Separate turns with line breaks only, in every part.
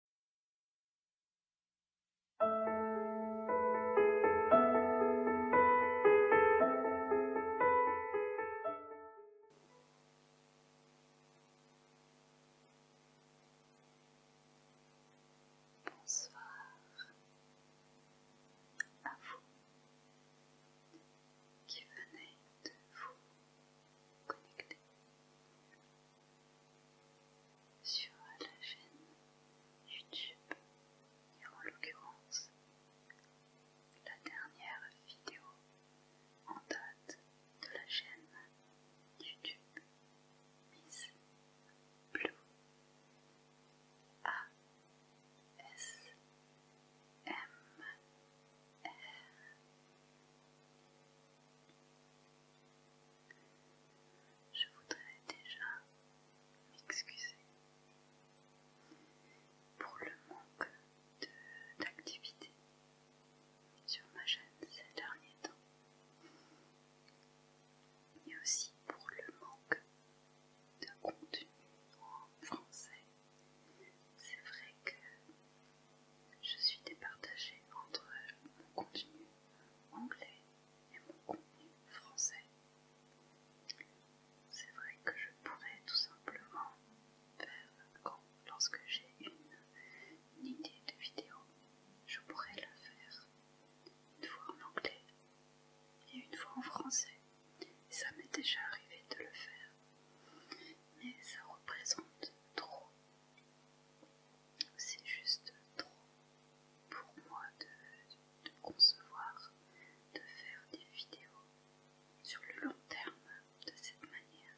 Bonsoir à vous qui venez de vous connecter sur la chaîne YouTube et en l'occurrence la dernière vidéo en date de la chaîne YouTube Miss Blue A S M R je voudrais déjà m'excuser pour le manque d'activité sur ma chaîne ces derniers temps, et aussi pour le manque de contenu en français. C'est vrai que je suis départagée entre mon contenu anglais et mon contenu français. C'est vrai que je pourrais tout simplement faire quand, lorsque j'ai une, idée de vidéo, je pourrais la faire une fois en anglais et une fois en français. ça m'est déjà arrivé de le faire. Mais ça représente trop c'est juste trop pour moi de, concevoir de faire des vidéos sur le long terme de cette manière.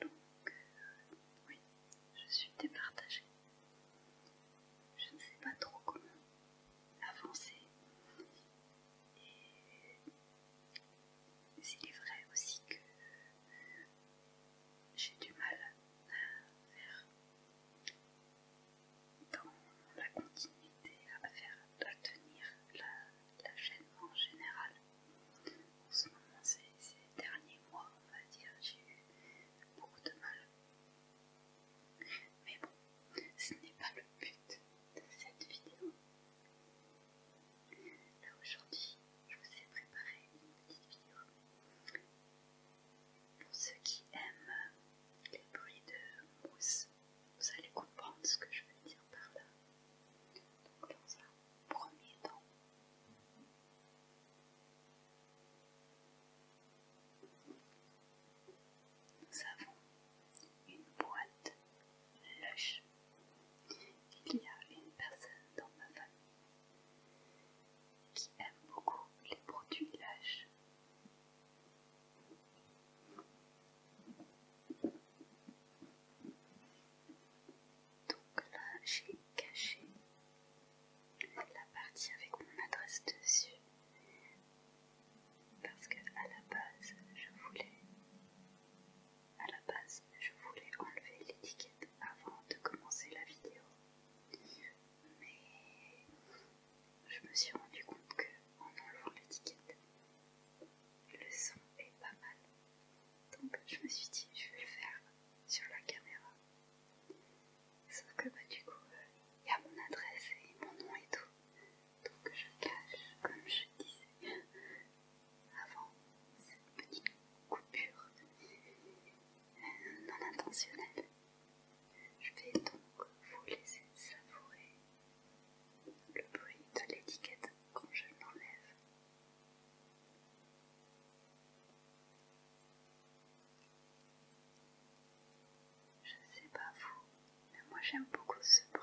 Donc euh, oui, je suis départagée. Je ne sais pas trop comment avancer. Et il est vrai aussi que j'ai du mal à faire dans la continuité à faire tenir la, chaîne en général. En ce moment, ces derniers mois, on va dire, j'ai eu beaucoup de mal. Mais bon, ce n'est pas le but de cette vidéo là aujourd'hui, je vous ai préparé une petite vidéo pour ceux qui aiment les bruits de mousse. Vous allez comprendre ce que je veux dire par là. Donc dans un premier temps, nous avons une boîte lush il y a une personne dans ma famille qui aime beaucoup les produits lâches. Donc là, j'ai caché la partie avec mon adresse dessus parce que à la base, je voulais à la base, je voulais enlever l'étiquette avant de commencer la vidéo, mais je me suis rendu compte que en enlevant l'étiquette, le son est pas mal. Donc je me suis dit je vais le faire sur la caméra. Sauf que bah, du coup euh, il y a mon adresse et mon nom et tout. Donc je cache comme je disais avant cette petite coupure non intentionnelle. Je vais donc vous laisser savourer le bruit de l'étiquette quand je l'enlève. Je sais pas vous, mais moi j'aime beaucoup ce bruit.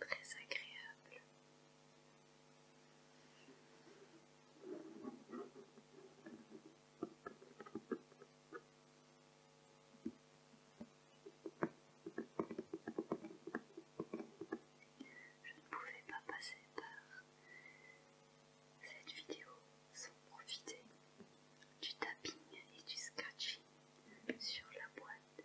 Très agréable je ne pouvais pas passer par cette vidéo sans profiter du tapping et du scratching sur la boîte.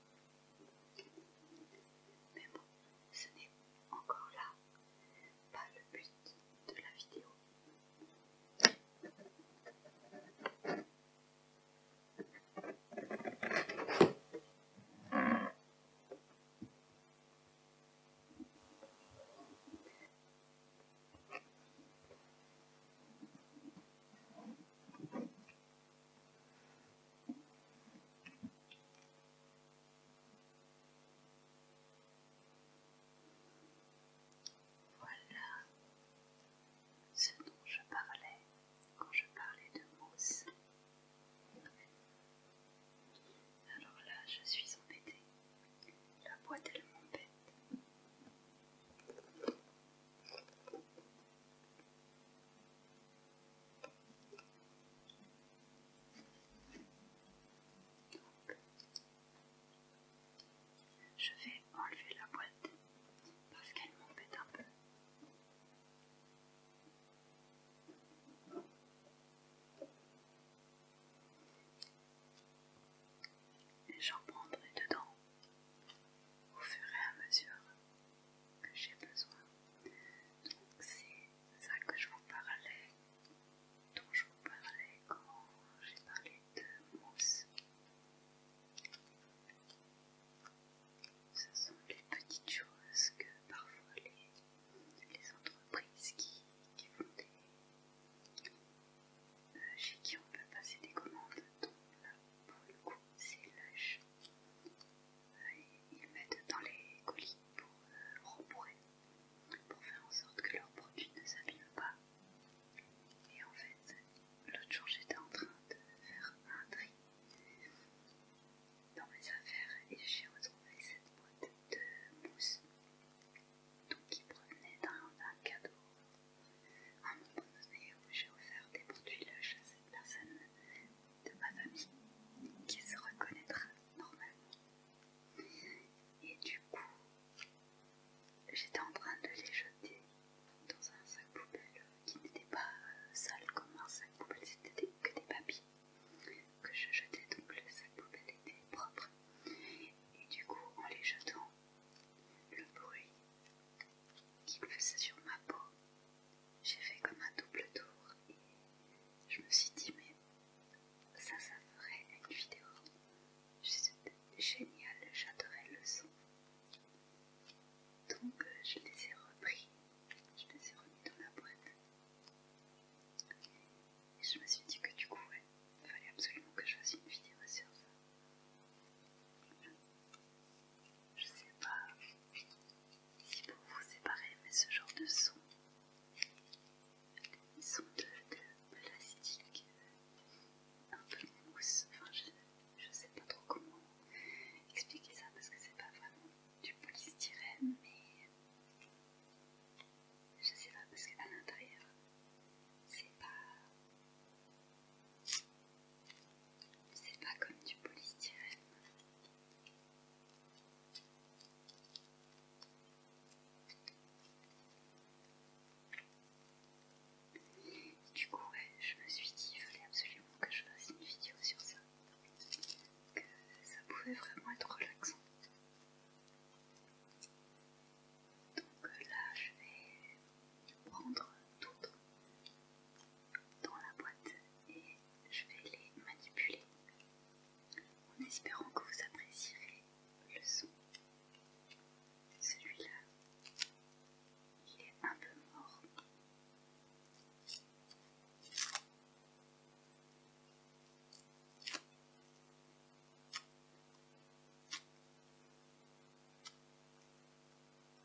Mais bon, ce n'est encore là pas le but de la vidéo. Voilà ce dont je parlais quand je parlais de mousse. Alors là, je suis embêtée. La boîte, elle m'embête. Je vais enlever la boîte parce qu'elle m'embête un peu. Et j'en prendrai dedans au fur et à mesure que j'ai besoin. Donc c'est ça que je vous parlais, dont je vous parlais quand j'ai parlé de mousse. Ce sont les petites choses que parfois les, entreprises qui, font des... Euh, chez qui on peut passer des commandes, donc là pour le coup c'est lâche euh, ils mettent dans les colis pour euh, rembourrer, pour faire en sorte que leurs produits ne s'abîment pas. Et en fait, l'autre jour j'étais en train de faire un tri dans mes affaires et j'ai retrouvé cette boîte de mousse qui provenait d'un cadeau un moment donné j'ai offert des produits Lush à cette personne de ma famille qui se reconnaîtra normalement. Et du coup, j'étais en train de les jeter dans un sac poubelle qui n'était pas euh, sale comme un sac poubelle, c'était que des papiers que je jetais, donc le sac poubelle était propre. Et du coup, en les jetant, le bruit qu'il faisait sur ma peau j'ai fait comme un double tour et je me suis dit mais ça ça ferait une vidéo géniale, j'adorais le son. Donc euh, je les ai repris, je les ai remis dans la boîte. Et je me suis dit que du coup il fallait absolument que je fasse une vidéo sur ça. Je sais pas si pour vous c'est mais ce genre de son, ils sont de, plastique, un peu mousse. Enfin, je, je sais pas trop comment expliquer ça parce que c'est pas vraiment du polystyrène, mais je sais pas parce qu'à l'intérieur, c'est pas. C'est pas comme du polystyrène. Du coup, je me suis dit, il fallait absolument que je fasse une vidéo sur ça. Que ça pouvait vraiment être relaxant. Donc euh, là, je vais prendre d'autres dans la boîte et je vais les manipuler en espérant que vous apprécierez le son. Celui-là, il est un peu mort.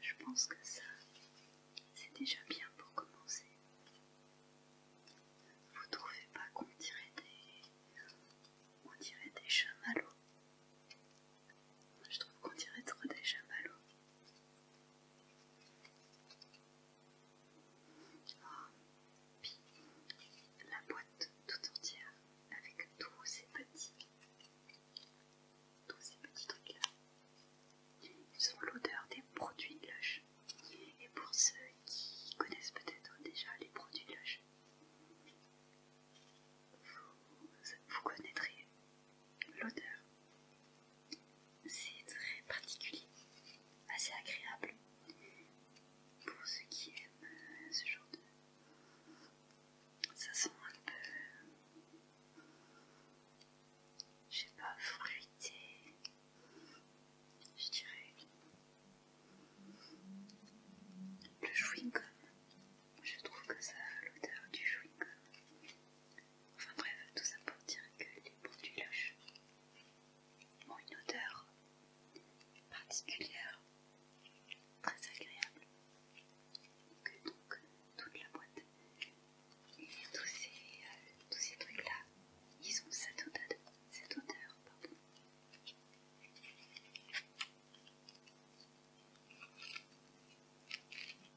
je pense que ça, c'est déjà bien pour commencer. Vous trouvez pas qu'on dirait des, on dirait des chamallows Je trouve qu'on dirait trop des chamallows la boîte tout entière avec tous ces petits, tous ces petits trucs là. Ils ont l'odeur des produits Lush. Et pour ceux qui connaissent peut-être déjà les produits Lush, vous connaîtrez L'odeur, c'est très particulier, assez agréable pour ceux qui aiment ce genre de. Ça sent un peu. Je sais pas, fruité. Je dirais. Le chewing-gum. Je trouve que ça, l'odeur du chewing-gum, Enfin bref, tout ça pour dire que les produits loche ont une odeur particulière, très agréable, que donc toute la boîte et tous ces, euh, trucs là, ils ont cette odeur,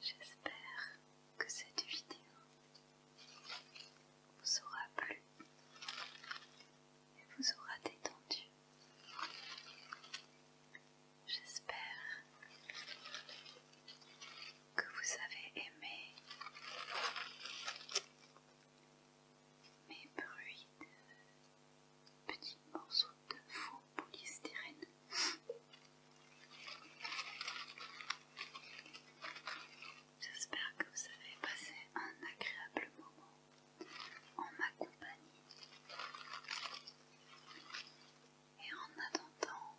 J'espère que cette vidéo vous aura plu et vous aura détendu. J'espère que vous avez aimé mes bruits de petits morceaux de faux polystyrène J'espère que vous avez passé un agréable moment en ma compagnie. Et en attendant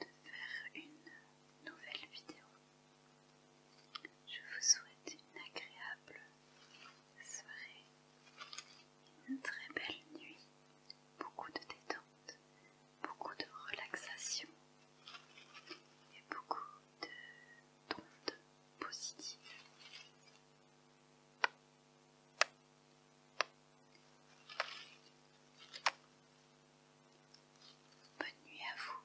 de faire une nouvelle vidéo, je vous souhaite une agréable soirée une très belle nuit, beaucoup de détente, beaucoup de relaxation et beaucoup de d'ondes positives. Bonne nuit à vous.